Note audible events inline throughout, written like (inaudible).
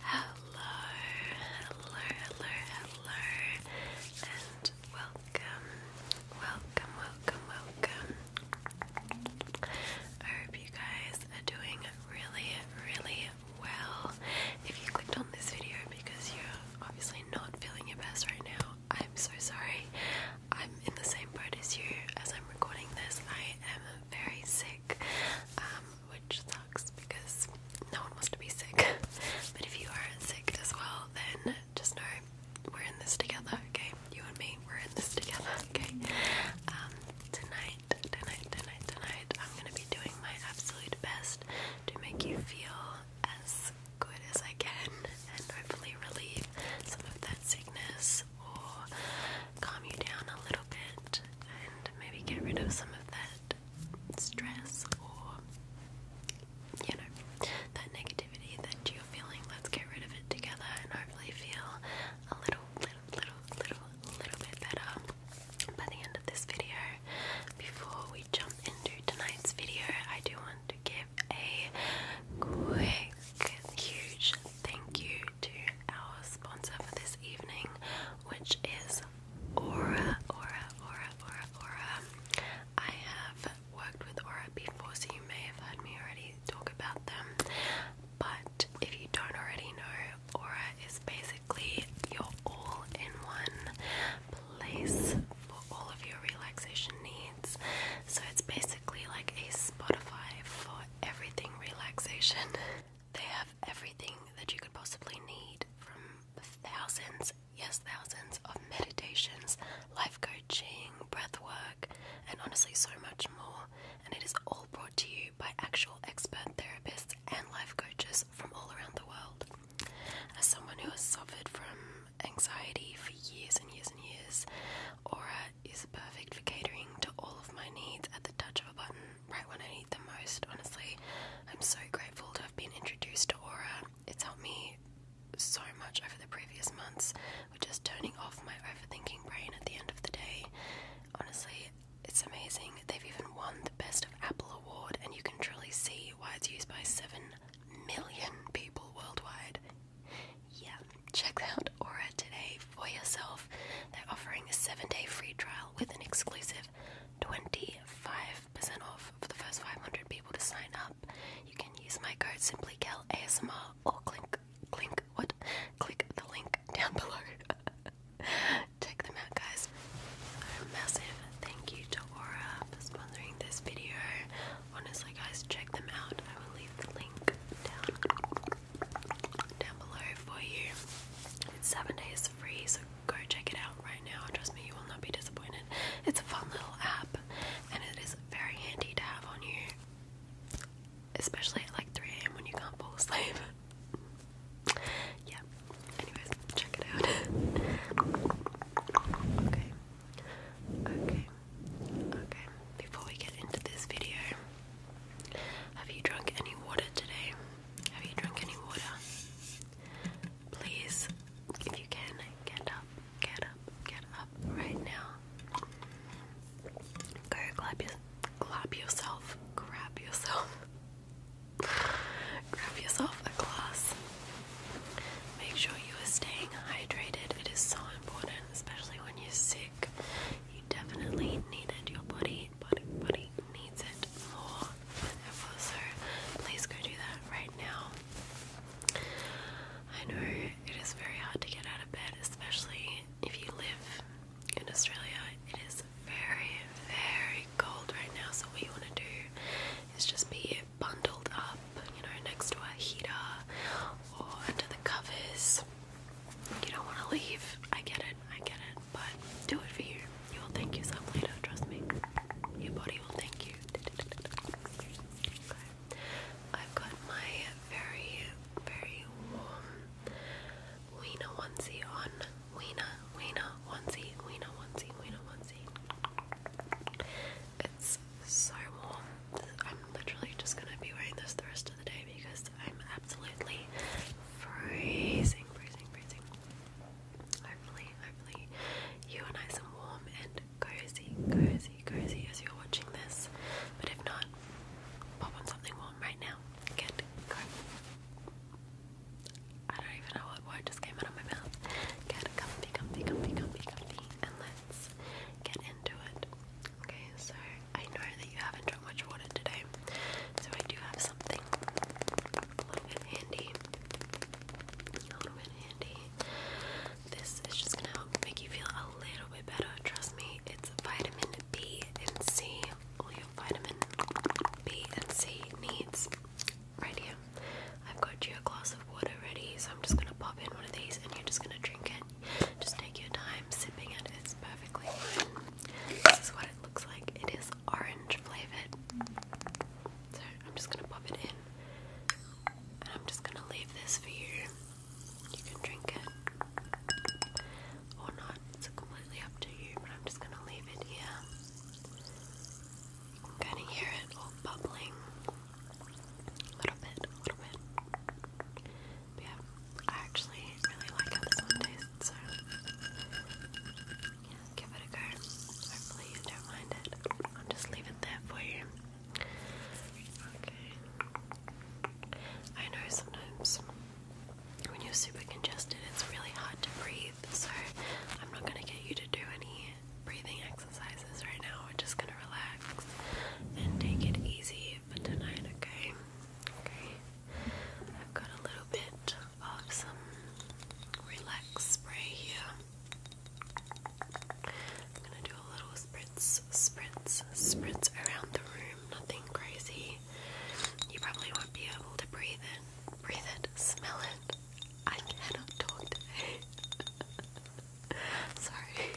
Hello, hello, hello, hello, and welcome, welcome, welcome, welcome. I hope you guys are doing really, really well. If you clicked on this video because you're obviously not feeling your best right now, I'm so sorry. I'm in the same boat as you as I'm recording this. I am very sick, um, which sucks because no one wants to be sick. but if you are sick as well, then just know we're in this together, okay? You and me, we're in this together, okay? Um, tonight, tonight, tonight, tonight, I'm gonna be doing my absolute best to make you feel as good as I can and hopefully relieve some of that sickness or calm you down a little bit and maybe get rid of some of that stress or, you know, that negativity that you're feeling. Let's get rid of it together and hopefully feel a little, little, little, little, little bit better by the end of this video. Before we jump into tonight's video, I do want want to give a quick, huge thank you to our sponsor for this evening, which is Aura, Aura, Aura, Aura, Aura. I have worked with Aura before, so you may have heard me already talk about them. But if you don't already know, Aura is basically your all in one place for all of your relaxation needs. So it's basically basically like a Spotify for everything relaxation. (laughs) They have everything that you could possibly need from thousands, yes, thousands of meditations, life coaching, breath work, and honestly, so much more. And it is all brought to you by actual expert therapists and life coaches from all around the world. As someone who has suffered from anxiety for years and years and years, Aura is perfect for catering to all of my needs at the touch of a button, right when I need them most. Honestly, I'm so grateful to have been introduced to Aura. It's helped me so much over the previous months with just turning off my overthinking brain at the end of the day. Honestly, it's amazing. They've even won the Best of Apple Award, and you can truly see why it's used by 7 million people worldwide. Yeah, check out Aura today for yourself. They're offering a seven day free trial with an exclusive 25% off for the first 500 people to sign up. You can use my code SimplyCal ASMR or click, click, what? Click the link (laughs) down below. check them out, guys. A massive thank you to Aura for sponsoring this video. Honestly, guys, check them out. I will leave the link down down below for you. It's seven days free, so go check it out right now. Trust me, you will not be disappointed. It's a fun little app, and it is very handy to have on you, especially at like 3 a.m. when you can't fall asleep. (laughs) yeah. Anyways, check it out. (laughs) okay. Okay. Okay, before we get into this video, have you drunk any water today? Have you drunk any water? Please, if you can, get up, get up, get up right now. Go clap, your, clap yourself, grab yourself, (laughs) grab yourself a glass. Make sure you are staying hydrated. It is so important, especially when you're sick. You definitely need it. Your body, body, body needs it more than So please go do that right now. I know it is very hard to get out of bed, especially if you live in Australia. It is very, very cold right now. So what you want to do is just be bundled up you know, next to a heater or under the covers. You don't want to leave. I get it, I get it, but do it for you. You will thank you yourself later, trust me. Your body will thank you. Okay. I've got my very, very warm Weena onesie on. Weena, Weena onesie, Weena onesie, Weena onesie. It's so warm. I'm literally just gonna be wearing this the rest of the day because I'm absolutely freezing, freezing, freezing. Hopefully, hopefully, you are nice and warm and cozy, cozy, cozy as you're watching this. But if not, pop on something warm right now. Get go. I don't even know what word just came out of my mouth. Get comfy, comfy, comfy, comfy, comfy, and let's get into it. Okay, so I know that you haven't drunk much water today, so I do have something a little bit handy. A little bit handy. This is just gonna help make you feel a little bit better. Trust me, it's vitamin B and C. All your vitamin B and C needs right here. I've got you a glass of water ready, so I'm just gonna pop in one of these and you're just gonna drink it. Just take your time sipping it. It's perfectly fine. This is what it looks like. It is orange flavored. So I'm just gonna pop it in, and I'm just gonna leave this for you. You can drink it or not. It's completely up to you. But I'm just gonna leave it here. You can kind of hear it all bubbling. A little bit, a little bit. yeah, I actually really like how this one tastes, so yeah, give it a go. Hopefully you don't mind it. I'll just leave it for you. Okay. I know sometimes when you're super congested, it's really hard to breathe, so I'm not going to get you to do any breathing exercises right now. We're just gonna relax and take it easy But tonight, okay? Okay. I've got a little bit of some relax spray here. I'm gonna do a little spritz, spritz, spritz around the room. Nothing crazy. You probably won't be able to breathe in, breathe it, smell it. I cannot talk (laughs) (laughs) Sorry.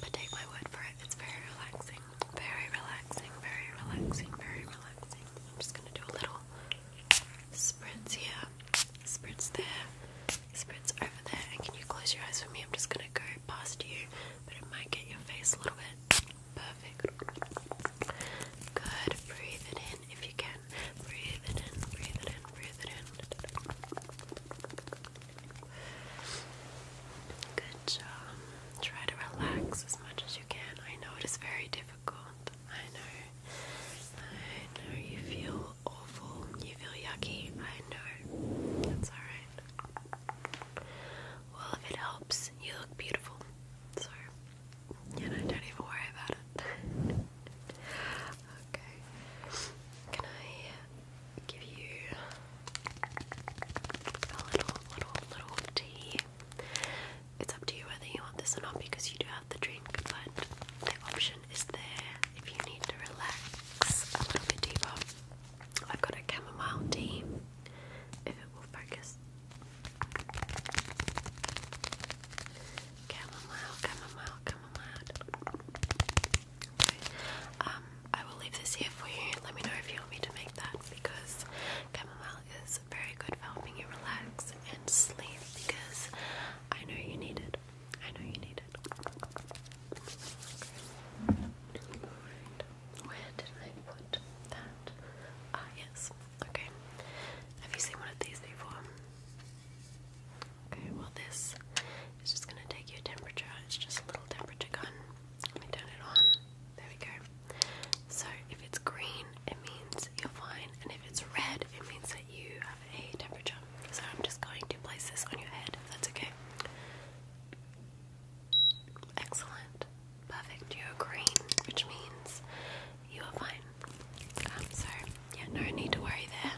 But take my word for it, it's very relaxing. Very relaxing, very relaxing, very relaxing. I'm just gonna do a little spritz here, spritz there, spritz over there. And can you close your eyes for me? I'm just gonna go past you, but it might get your face a little bit. Perfect. Good. Breathe it in if you can in, breathe it in, breathe it in, breathe it in. Good job. Try to relax as much as you can. I know it is very difficult. I know. I know you feel awful. You feel yucky. I know. That's alright. Well, if it helps, you look beautiful. So, you know, don't even worry about it. Okay. Can I give you a little, little, little tea? It's up to you whether you want this or not because you do have the drink, but the option is there if you need to relax a little bit deeper. I've got a chamomile tea if it will focus. Chamomile, chamomile, chamomile. Um, I will leave this here for you. Let me know if you want me to make that because chamomile is very good for helping you relax and sleep because I know you need it. I know you need it. Where did I put that? Ah, yes. Okay. Have you seen one of these before? Okay, well this is just gonna take your temperature. It's just a little temperature gun. Let me turn it on. There we go. So if it's green, it means you're fine, and if it's red, it means that you have a temperature. So I'm just going to place this on your head, that's okay. Excellent. Perfect. You're green, which means you are fine. Um, so yeah, no need to worry there.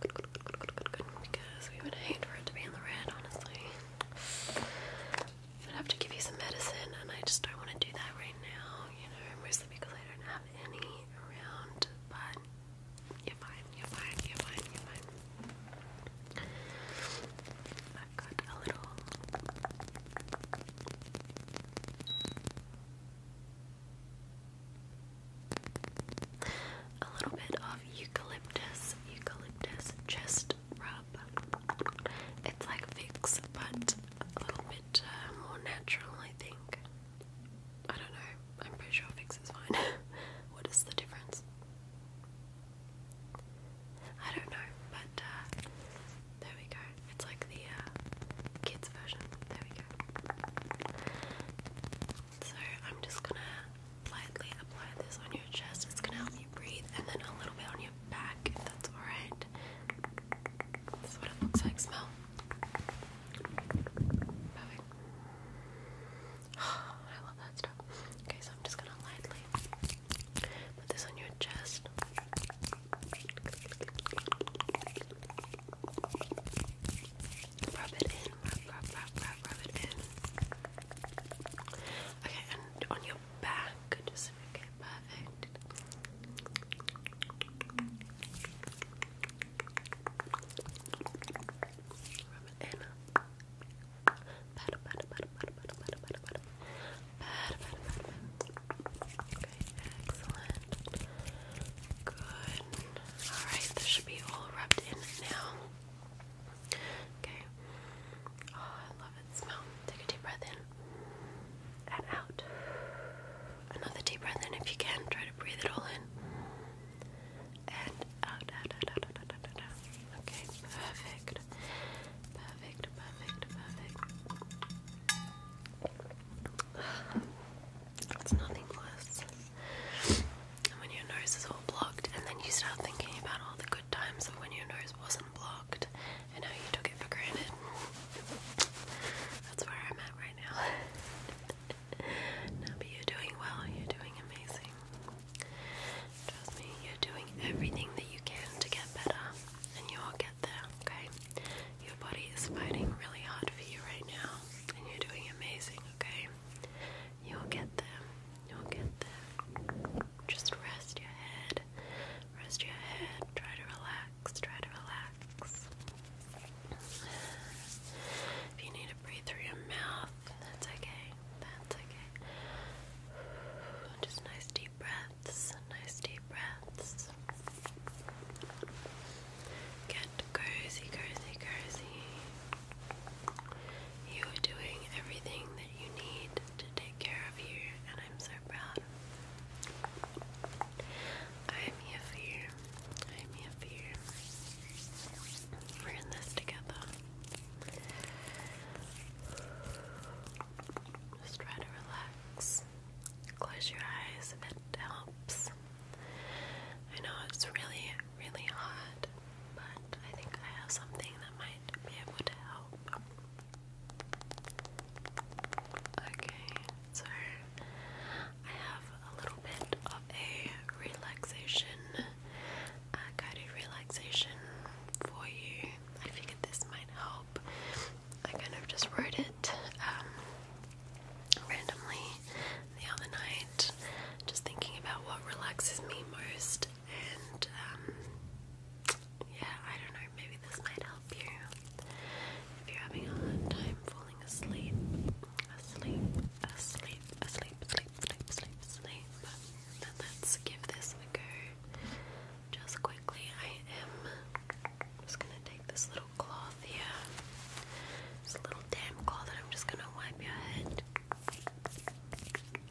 Because we would hate for it to be in the red, honestly. I'd have to give you some medicine, and I just don't want to do that right now. You know, mostly because I don't have any around. But you're fine. You're fine. You're I've got a little. A little bit of eucalyptus, eucalyptus chest rub. It's like Vicks, but a little bit uh, more natural, I think. I don't know. I'm pretty sure Vicks is fine. (laughs) what is the difference? I don't know, but uh, there we go. It's like the uh, kids version. There we go. So I'm just gonna lightly apply this on your chest. It's gonna help you breathe, and then a little bit on your back, if that's alright. That's what it looks like. Smell. Perfect. (sighs) I love that stuff. Okay, so I'm just gonna lightly put this on your chest. Rub it in, rub, rub, rub, rub, rub it in. Okay, and on your back, just okay, perfect. Rub it in. Pat, pat, pat, pat, pat, pat, pat, pat, pat, Okay, excellent. Good. Alright, this should be all wrapped in now. Okay. Oh, I love its smell. Take a deep breath in and out. Another deep breath in if you can. Try to breathe it all in. And out, out, out, out, out, out. out. Okay, perfect. Perfect, perfect, perfect. It's nothing less. And when your nose is all blocked, and then you start thinking about all the good times of when your nose wasn't blocked and how you took it for granted. That's where I'm at right now. (laughs) no, but you're doing well, you're doing amazing. Trust me, you're doing everything that you can to get better, and you'll get there, okay? Your body is fighting really hard for you right now, and you're doing amazing, okay? You'll get there. You'll get there. Just rest your head. Rest your head. Try to relax. Try to relax. If you need to breathe through your mouth, that's okay. That's okay. Just nice deep breaths. Nice deep breaths. Get cozy, cozy, cozy. You are doing everything that you need to take care of you, and I'm so proud. I am here for you. I am here for you. We're in this together. Just try to relax. Close your eyes if it helps. I know it's really, really hot, but I think I have something that might be able to help. Okay, so I have a little bit of a relaxation, guided relaxation for you. I figured this might help. I kind of just wrote it um, randomly the other night, just thinking about what relaxes me most, and um, yeah, I don't know, maybe this might help you if you're having a hard time falling asleep, asleep, asleep, asleep, asleep, asleep, asleep. Then let's give this a go. Just quickly, I am I'm just gonna take this little cloth yeah. this little damp cloth, and I'm just gonna wipe your head.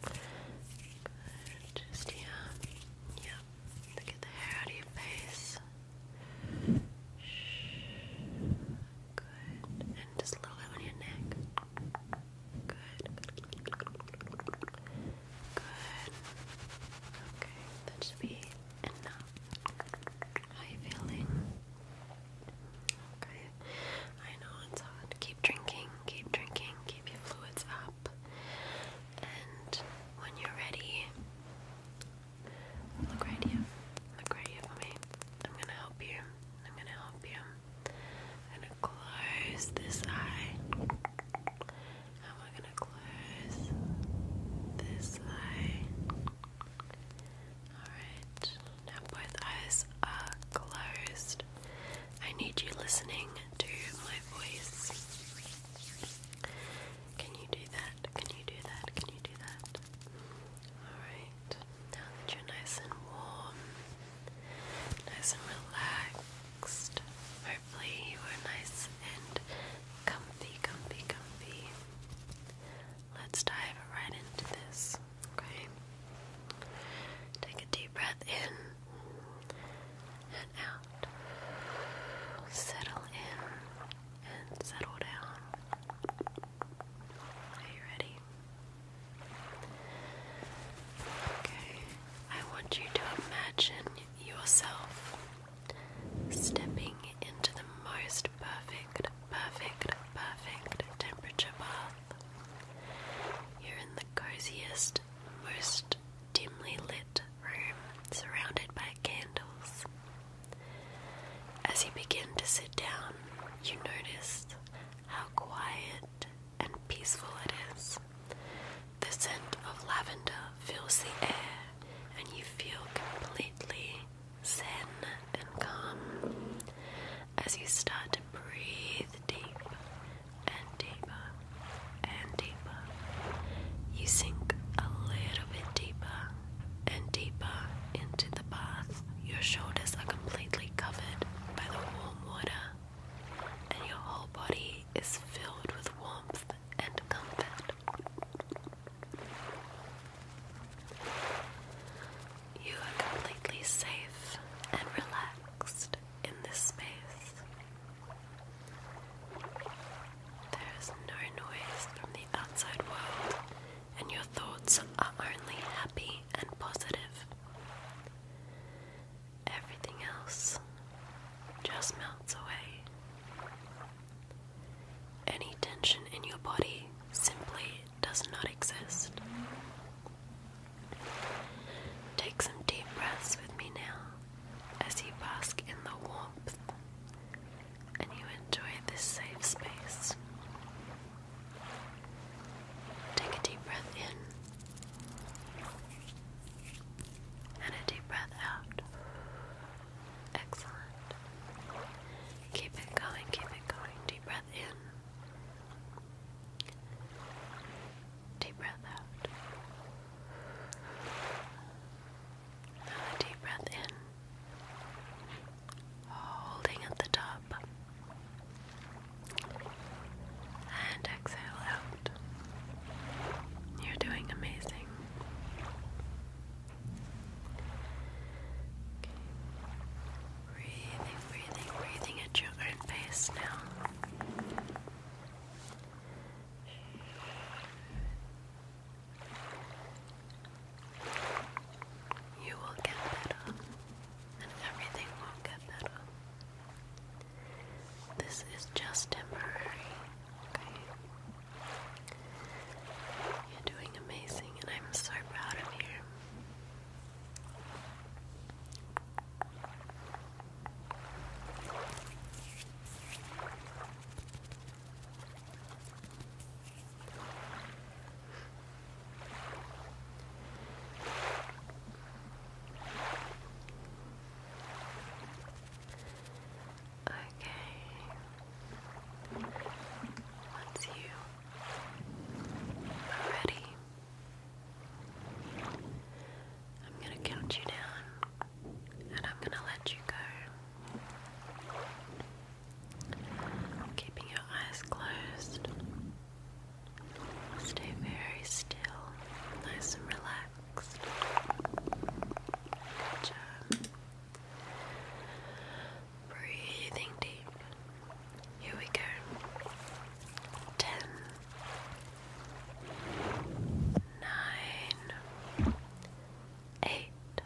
Good. Just here. Yep. get the hair out of your face. Good. And just a little bit on your neck. Good. Good. Okay. That should be enough. How you feeling? Okay. I know it's hot. Keep drinking, keep drinking, keep your fluids up. And when you're ready, look right here. Look right here for me. I'm gonna help you. I'm gonna help you. I'm gonna close this eye. And we're gonna close this eye. Alright, now both eyes are closed. I need you listening to my voice. Can you do that? Can you do that? Can you do that? Alright, now that you're nice and warm, nice and relaxed, hopefully you are nice and comfy, comfy, comfy. Let's dive right into this, okay? Take a deep breath in and out. Settle in and settle down. Are you ready? Okay, I want you to imagine yourself stepping into the most perfect, perfect, perfect temperature bath. You're in the coziest, most dimly lit room, surrounded by candles. As you begin to sit down, you notice how quiet and peaceful it is. The scent of lavender fills the air, and you feel completely zen and calm as you start to breathe deep and deeper and deeper. You sink a little bit deeper and deeper into the bath. Your shoulders are completely covered by the warm water, and your whole body is filled with warmth and comfort. You are completely safe and relaxed in this space. There is no noise from the outside world, and your thoughts are only happy and positive. Everything else just melts away. Any tension in your body simply does not exist. Take some deep breaths with me now as you bask in the warmth and you enjoy this safe space. Take a deep breath in and a deep breath out. Excellent. Keep it going, keep it going. Deep breath in. Deep breath out. deep breath in. Holding at the top. And exhale out. You're doing amazing. Breathing, breathing, breathing at your own pace now. You will get better, and everything will get better. This is just temporary, okay? You're doing amazing, and I'm so proud of you. Okay. Once you are ready, I'm going to count you down and I'm going to let you go. Keeping your eyes closed. Stay very still, nice and relaxed. Good job. Breathing deep. Here we go. Ten. Nine. Eight.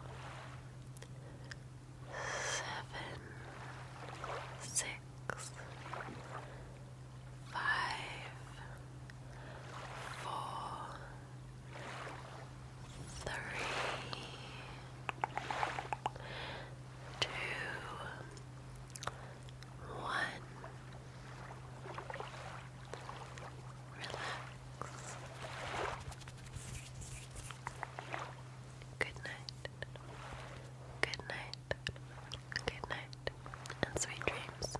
Seven. Six. Five. Four three, two, one. Relax. Good night. Good night. Good night. And sweet dreams.